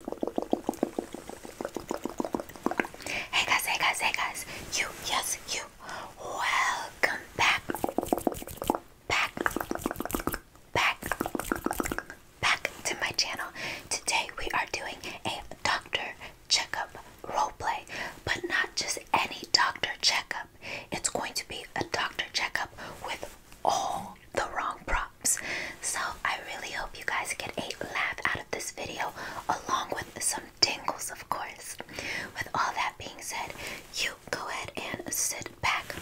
Hey guys, hey guys, hey guys. You, yes, you. Welcome back. Back. Back. Back to my channel. Today we are doing a doctor checkup roleplay, but not just any doctor checkup. It's going to be a doctor checkup with all the wrong props. So I really hope you guys get a laugh out of this video along with some tingles of course. With all that being said, you go ahead and sit back.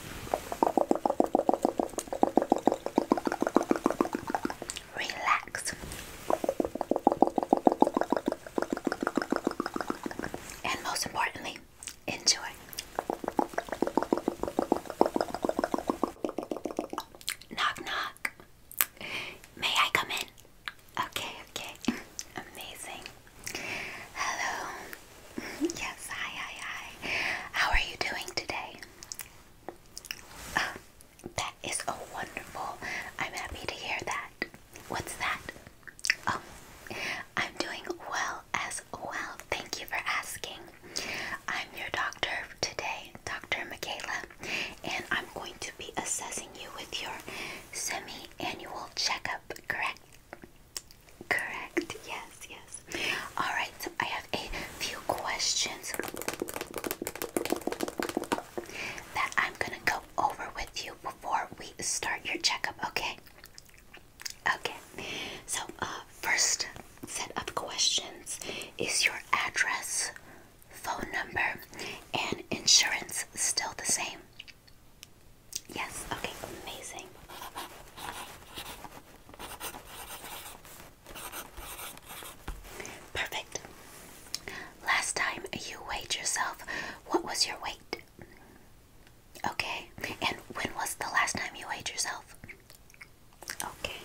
Relax. And most importantly, enjoy. Knock, knock. May I come in? Okay, okay. Amazing. Hello. Yes, hi, hi, hi. How are you doing today? Ah, that is a wonderful. I'm happy to hear that. What's that? Oh, I'm doing well as well. Thank you for asking. I'm your doctor today, Dr. Michaela, and I'm going to be assessing you with your semi annual checkup, correct? Correct, yes, yes. Alright, so I have a few questions that I'm gonna go over with you before we start your checkup, okay? Okay, so uh, first set of questions is your address, phone number, and insurance still the same? Yes, okay, amazing. Perfect. Last time you weighed yourself, what was your weight? Okay, and when was the last time you weighed yourself? Okay.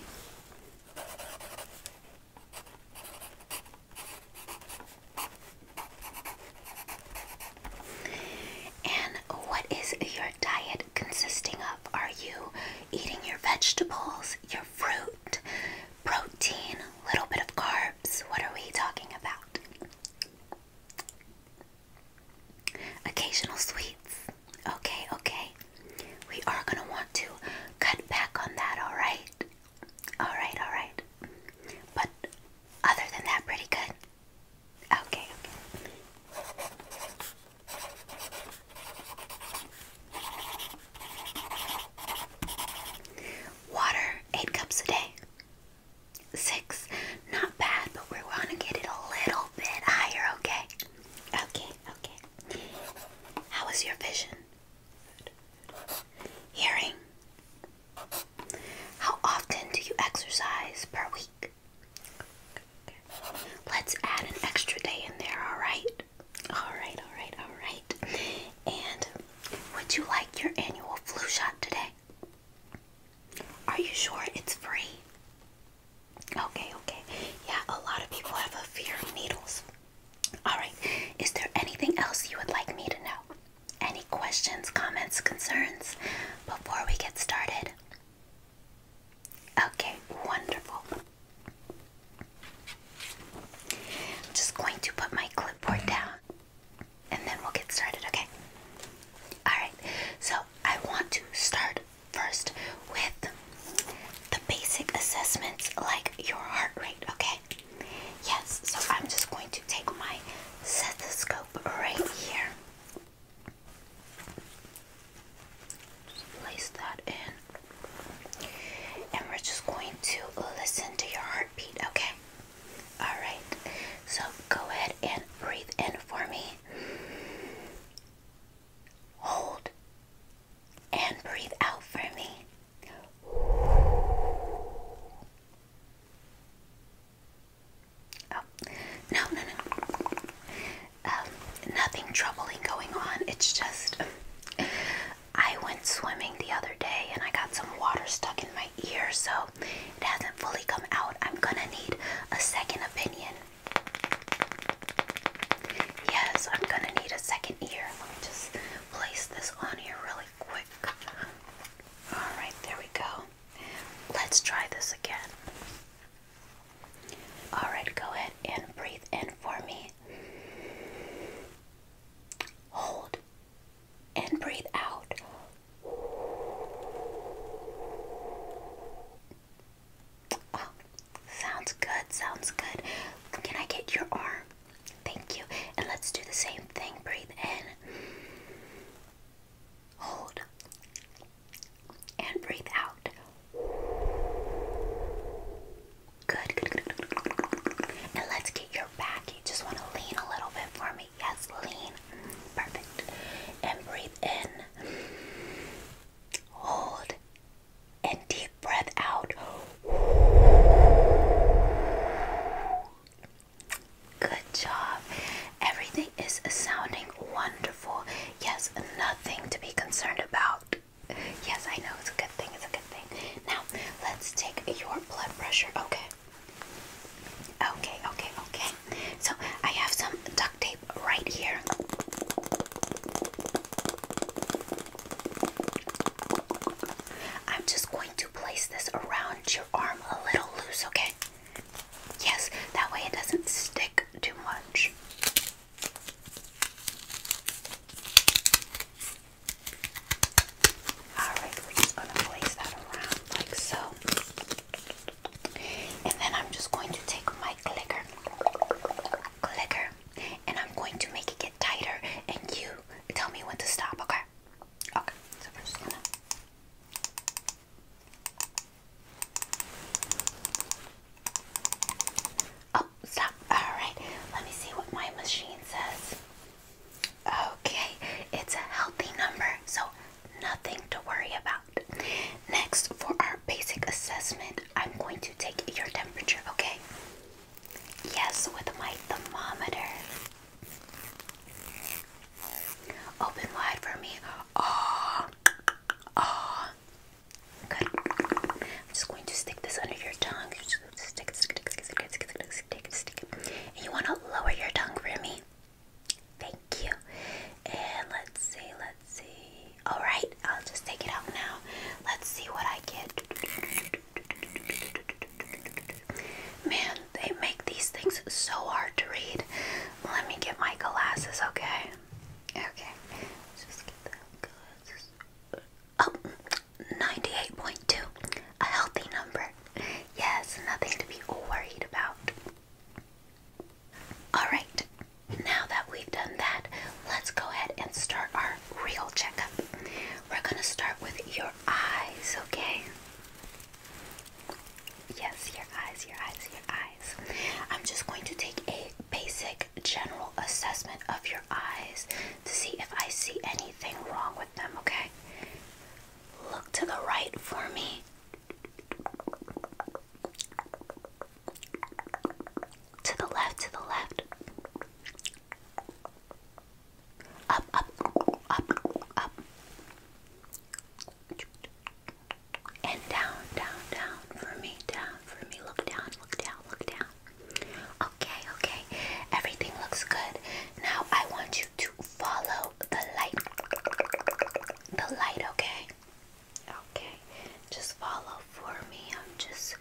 And what is your diet consisting of? Are you eating your vegetables, your fruit, protein, a little bit of carbs? What are we talking about? Occasional sweets. Okay, okay. We are going to want to cut back on that, alright? Alright, alright. But other than that, pretty good. Okay, Water, eight cups a day. Six. Not bad, but we are going to get it a little bit higher, okay? Okay, okay. How is your vision? Hearing? How often do you exercise per week? Let's add an extra day in there, alright? Alright, alright, alright. And would you like your annual flu shot today? Are you sure it's free? Okay, okay. Yeah, a lot of people have a fear of needles. Alright, is there anything else you would like me to know? Any questions, comments, concerns before we get started? Okay, wonderful. I'm just going to put my clipboard down and then we'll get started, okay? Alright, so I want to start first with the basic assessments like your heart rate, okay? Yes, so I'm just going to take my stethoscope right here. Just place that in. And we're just going to listen to your heartbeat, okay? Alright, so go ahead and breathe in for me. Hold and breathe out for me. Oh, no, no, no. Um, nothing troubling going on. It's just I went swimming the other day and I got some water stuck in my ear, so it hasn't fully come out. I'm gonna need a second opinion. Yes, I'm gonna need a second ear. Let me just place this on here really quick. Alright, there we go. Let's try this again. Alright, go ahead and breathe in for me. Hold and breathe out. Oh, sounds good, sounds good. Can I get your arm? Thank you. And let's do the same thing. Breathe in. Hold. And breathe out. Good, And let's get your back. You just want to lean a little bit for me. Yes, lean. Perfect. And breathe in. Hold and deep breath out. Good job. Everything is sounding wonderful. Yes, nothing to be concerned about. Yes, I know it's a good thing. It's a good thing. Now, let's take your blood pressure. Okay. Okay, okay, okay so I have some duct tape right here. I'm just going to place this around your arm a little loose, okay? Yes, that way it doesn't stick too much. Alright, we're just gonna place that around like so. And then I'm just going to take my clicker, clicker, and I'm going to make it get tighter. And you tell me when to stop, okay? Okay, so we're just gonna. Oh, stop. Alright, let me see what my machine says. Okay, it's a healthy number. So nothing to worry about. Next, for our basic assessment, I'm going to take your temperature, okay? Yes, with my thermometer. Open wide for me. Ah, ah. Good. I'm just going to stick this under your tongue. Stick, stick, stick, stick, stick, stick, stick, stick, stick. you want to lower your tongue for me. Thank you. And let's see, let's see. Alright, I'll just take it out now. Let's see what I get. Man, they make these things so hard to read. Let me get my glasses, okay? Okay. just get that glasses. Oh, 98.2. A healthy number. Yes, nothing to be worried about. Alright, now that we've done that, let's go ahead and start our real checkup. We're going to start with your eyes, okay? Yes, your eyes, your eyes, your eyes. I'm just going to take a basic general assessment of your eyes to see if I see anything wrong with them, okay? Look to the right for me. To the left, to the left. Up, up, up, up. And down, down, down for me, down for me. Look down, look down, look down. Okay, okay. Everything looks good. Now I want you to follow the light. The light, okay? Okay, just follow for me. I'm just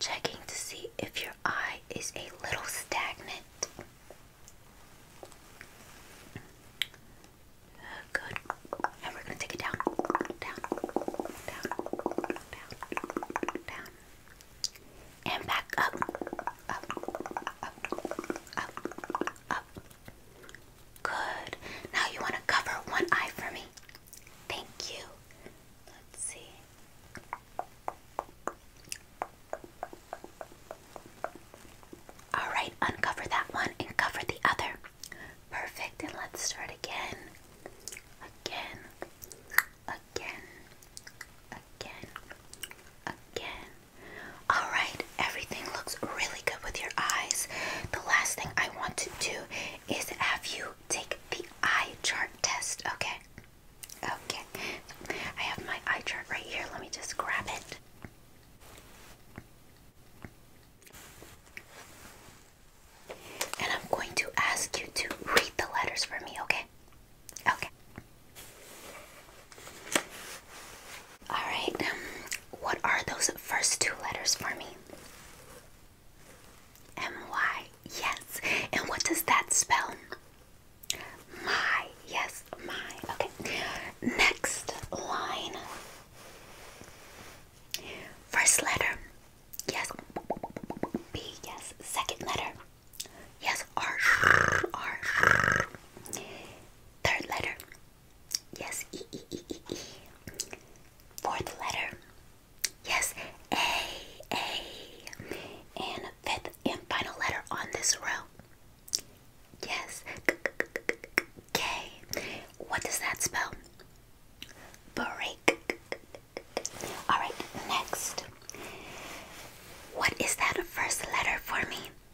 checking to see if your eye is a little stagnant. Good. And we're going to take it down, down, down, down, down, and back up, up, up, up, up, Good. Now you want to cover one eye for me. Thank you. Let's see. All right, uncover that one and cover the other. Perfect. And let's start again. Again. Again. Again. Again. Alright, everything looks really good with your eyes. The last thing I want to do is have you take the eye chart test, okay? Okay, I have my eye chart right here. Let me just grab it. And I'm going to ask you to read the letters for me, okay? Okay. All right. Um, what are those first two letters for me? M Y. Yes. And what does that spell? My. Yes, my. Okay. Next line. First letter. Yes. B. Yes. Second letter. Yes. R. R. Third letter. Yes, E E E E E. Fourth letter. Yes, A A. And fifth and final letter on this row. Yes, K. what does that spell? Break. All right, next. What is that first letter for me?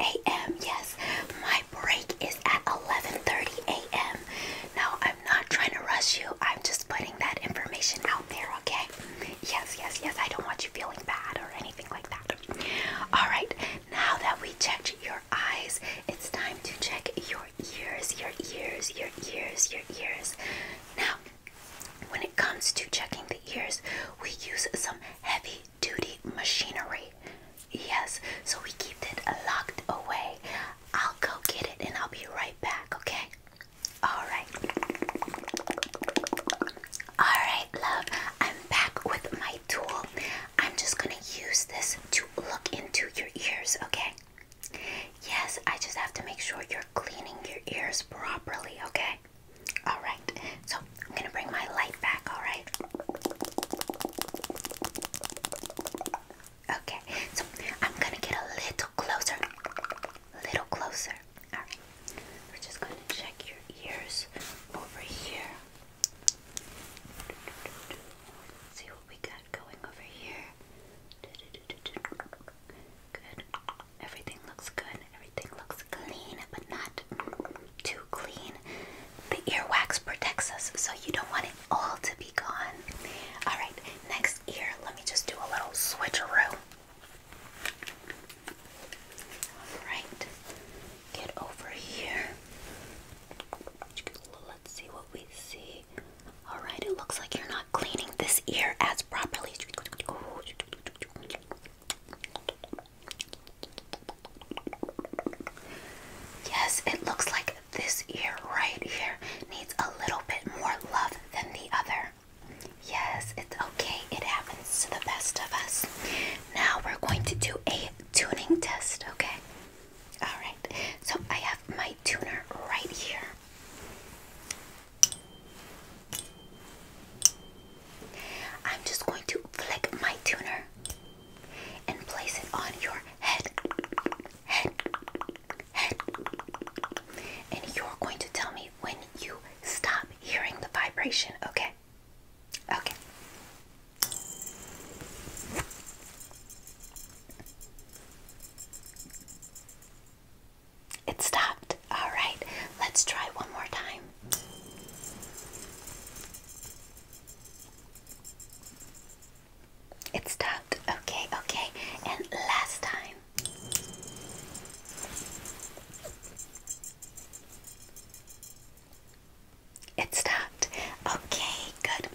a.m. Yes, my break is at 11:30 a.m. Now I'm not trying to rush you. I'm just putting that information out there, okay? Yes, yes, yes. I don't want you feeling bad or anything like that. All right. Now that we checked your eyes, it's time to check your ears, your ears, your ears, your ears. Now, when it comes to checking the the ears, we use some heavy duty machinery. Yes, so we keep it locked away. I'll go get it and I'll be right back, okay? Alright. Alright, love. I'm back with my tool. I'm just gonna use this to look into your ears, okay? Yes, I just have to make sure you're cleaning your ears properly, okay? All right. So I'm gonna bring my light back. All right. Okay. So I'm gonna get a little closer. A little closer. All right. We're just gonna check your ears over here. see what we got going over here. Good. Everything looks good. Everything looks clean, but not too clean. The earwax protects us, so you don't want it all to be gone. All right, next ear. Let me just do a little switcheroo. All right, get over here. Let's see what we see. All right, it looks like you're not cleaning this ear as properly. Yes, it looks like this ear right here needs a little bit more love than the other. Yes, it's okay. It happens to the best of us. Now we're going to do a tuning test, okay? Alright, so I have my tuner right here. I'm just going to flick my tuner and place it on your head, head, head, and you're going to tell me when you stop hearing the vibration, okay? Okay. It stopped. All right, let's try one more time. It stopped. Okay, okay. And last time. It stopped. Okay, good.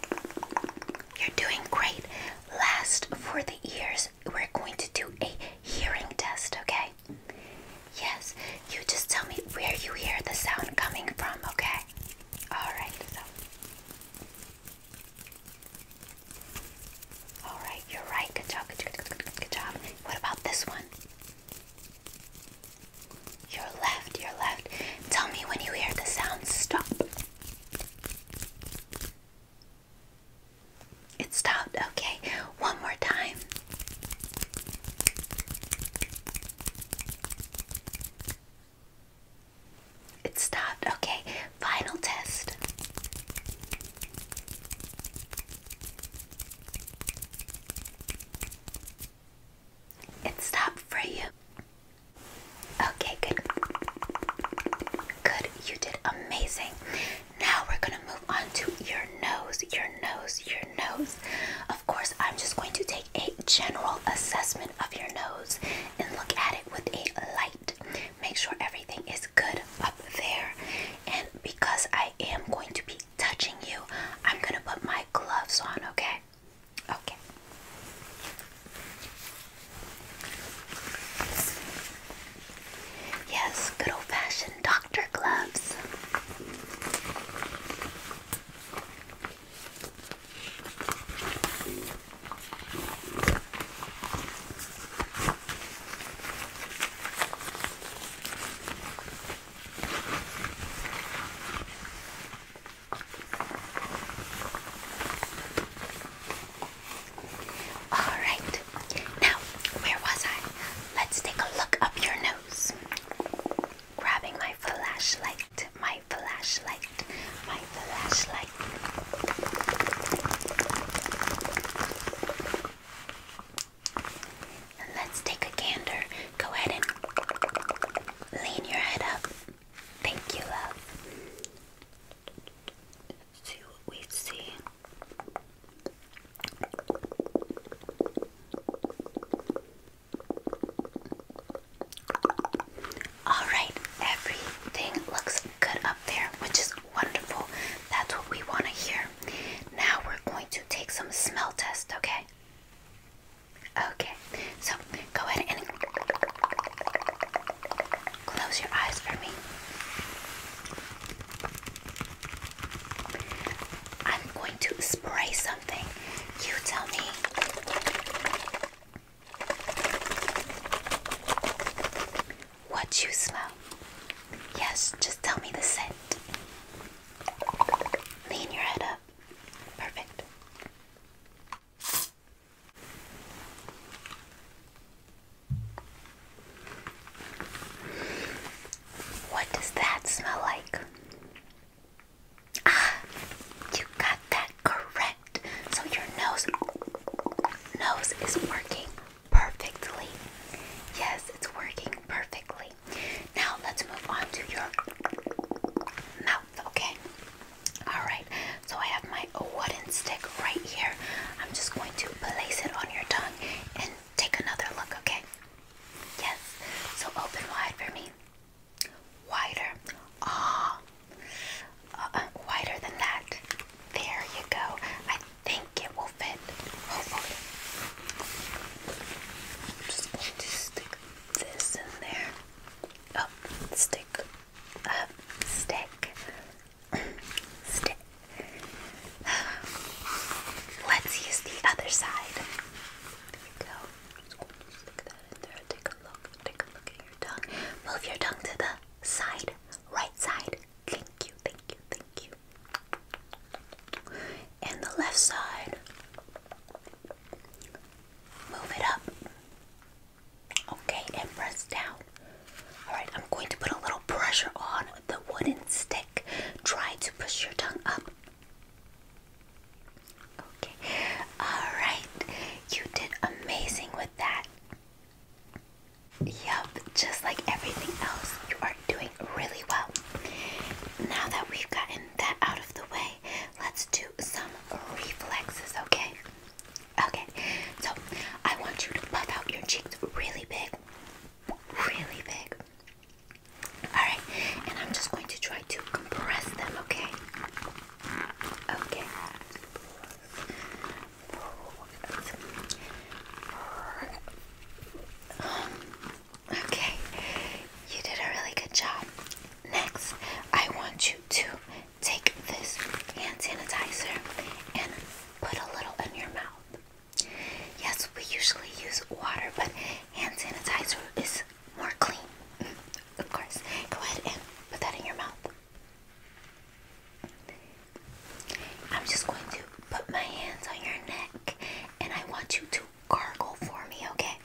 You're doing great. Last for the ears, we're going to do a hearing test, okay? Yes, you just tell me where you hear the sound coming from, okay? Alright, Alright, you're right. Good job, good job, good, good, good job. What about this one? Your left, your left. Tell me when you hear the sound stop. It stopped. Okay, one more time. It stopped. Okay, final test. It stopped for you. Okay, good. Good, you did amazing. Now we're gonna move on to your nose, your nose, your nose. Of course, I'm just going to take a general assessment of your nose and look at it with a light. Make sure everything is good up there. And because I am going to be touching you, I'm gonna put my gloves on, okay? Okay. Yes, good old fashioned doctor gloves. Alright, now where was I? Let's take a look up your nose. Grabbing my flashlight, my flashlight, my flashlight. let's take a gander. Go ahead and lean your head up. Thank you, love. Let's see what we see. All right, everything looks good up there, which is wonderful. That's what we want to hear. Now we're going to take some smell test, okay? Okay, so go ahead and close your eyes for me. I'm going to spray something. You tell me. What you smell? Yes, just tell me the scent. Lean your head up. Perfect. What does that smell like? Ah, you got that correct. So your nose nose is working perfectly. Yes, it's working perfectly. Now let's move on to your mouth, okay? Alright, so I have my wooden stick right here. I'm just going to place it on your tongue and take another look, okay? Yes. So open wide for me. Wider. Ah. Uh, uh, wider than that. There you go. I think it will fit. Hopefully. I'm just going to stick this in there. Oh, stick. Uh, stick. Stick. Let's use the other side. There we go. Take a look. Take a look at your tongue. Move your tongue to the side, right side. Thank you, thank you, thank you. And the left side. Move it up. Okay, and press down. Alright, I'm going to put a little pressure on the wooden stick. Try to push your tongue up. Okay, alright. You did amazing with that. Yup, just like everything else, you are doing really well. Now that we've gotten that out of the way, let's do some reflexes, okay? Okay, so I want you to puff out your cheeks really big really big. Alright, and I'm just going to try to compress them, okay? Okay. Okay, you did a really good job. Next, I want you to take this hand sanitizer and put a little in your mouth. Yes, we usually use water, but hand sanitizer is more clean. Mm, of course. Go ahead and put that in your mouth. I'm just going to put my hands on your neck and I want you to gargle for me, okay?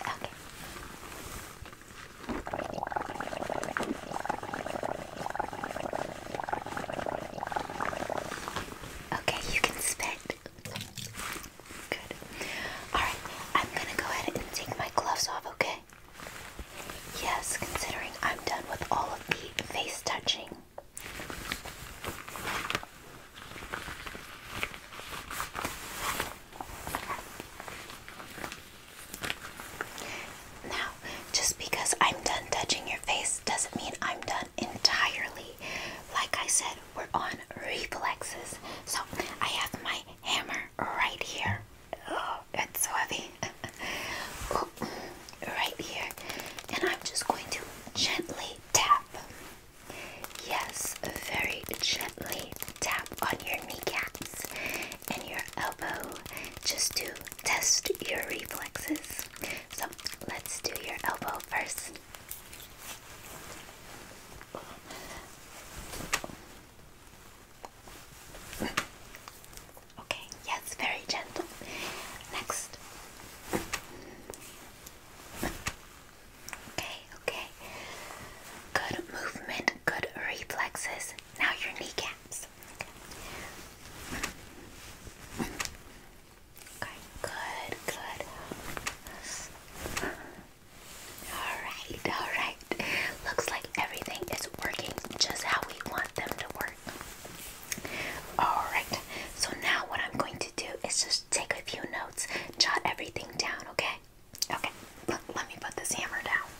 Okay. Okay, you can spit. Good. Alright, I'm gonna go ahead and take my gloves off, okay? Yes, considering I'm done with all of the face touching. Now, just because I'm done touching your face doesn't mean I'm done entirely. Like I said, we're on reflexes. So I have my hammer right here. Oh, it's so heavy. oh, right here. And I'm just going to gently tap. Yes, very gently tap on your kneecaps and your elbow just to test your reflexes. So let's do your elbow first. Okay, yes, very gentle. Next. Okay, okay. Good movement, good reflexes. Now your kneecaps good, good. Alright, alright. Looks like everything is working just how we want them to work. Alright, so now what I'm going to do is just take a few notes, jot everything down, okay? Okay, let me put this hammer down.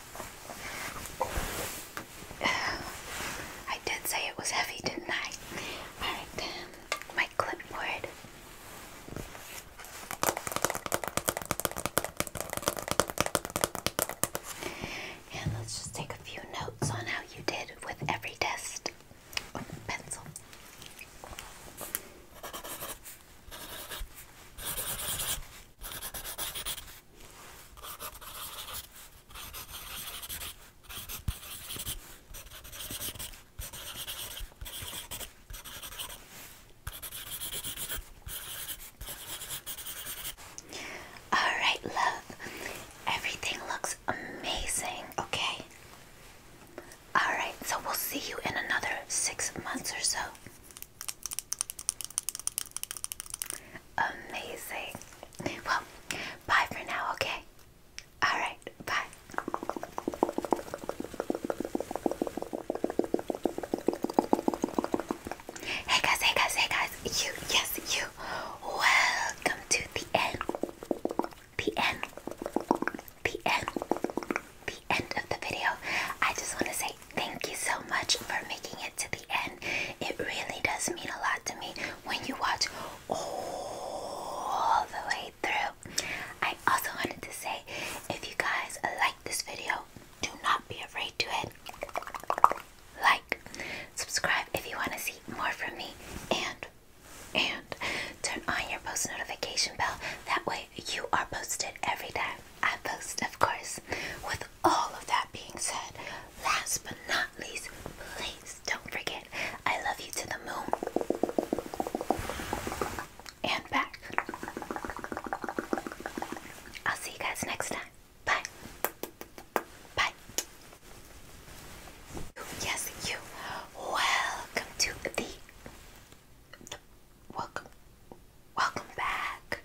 I did say it was heavy, didn't I? Alright, my clipboard. And let's just take a few notes on how you did with every test. pencil. All right, love. Everything looks amazing, okay? All right, so we'll see you in another six months or so. Amazing. Well, bye for now, okay? Alright, bye. Hey guys, hey guys, hey guys. You, yes, you. Welcome to the end. The end. The end. The end of the video. I just want to say thank you so much for making it to the end. It really does mean a lot to me when you watch all the way through. I also wanted to say if you guys like this video, do not be afraid to hit like, subscribe if you want to see more from me, and and turn on your post notification bell. That way you are posted every time I post, of course, with all of that being said, last but not least, please don't forget I love you to the moon and back. I'll see you guys next time. Bye. Bye. Yes, you. Welcome to the, welcome. Welcome back.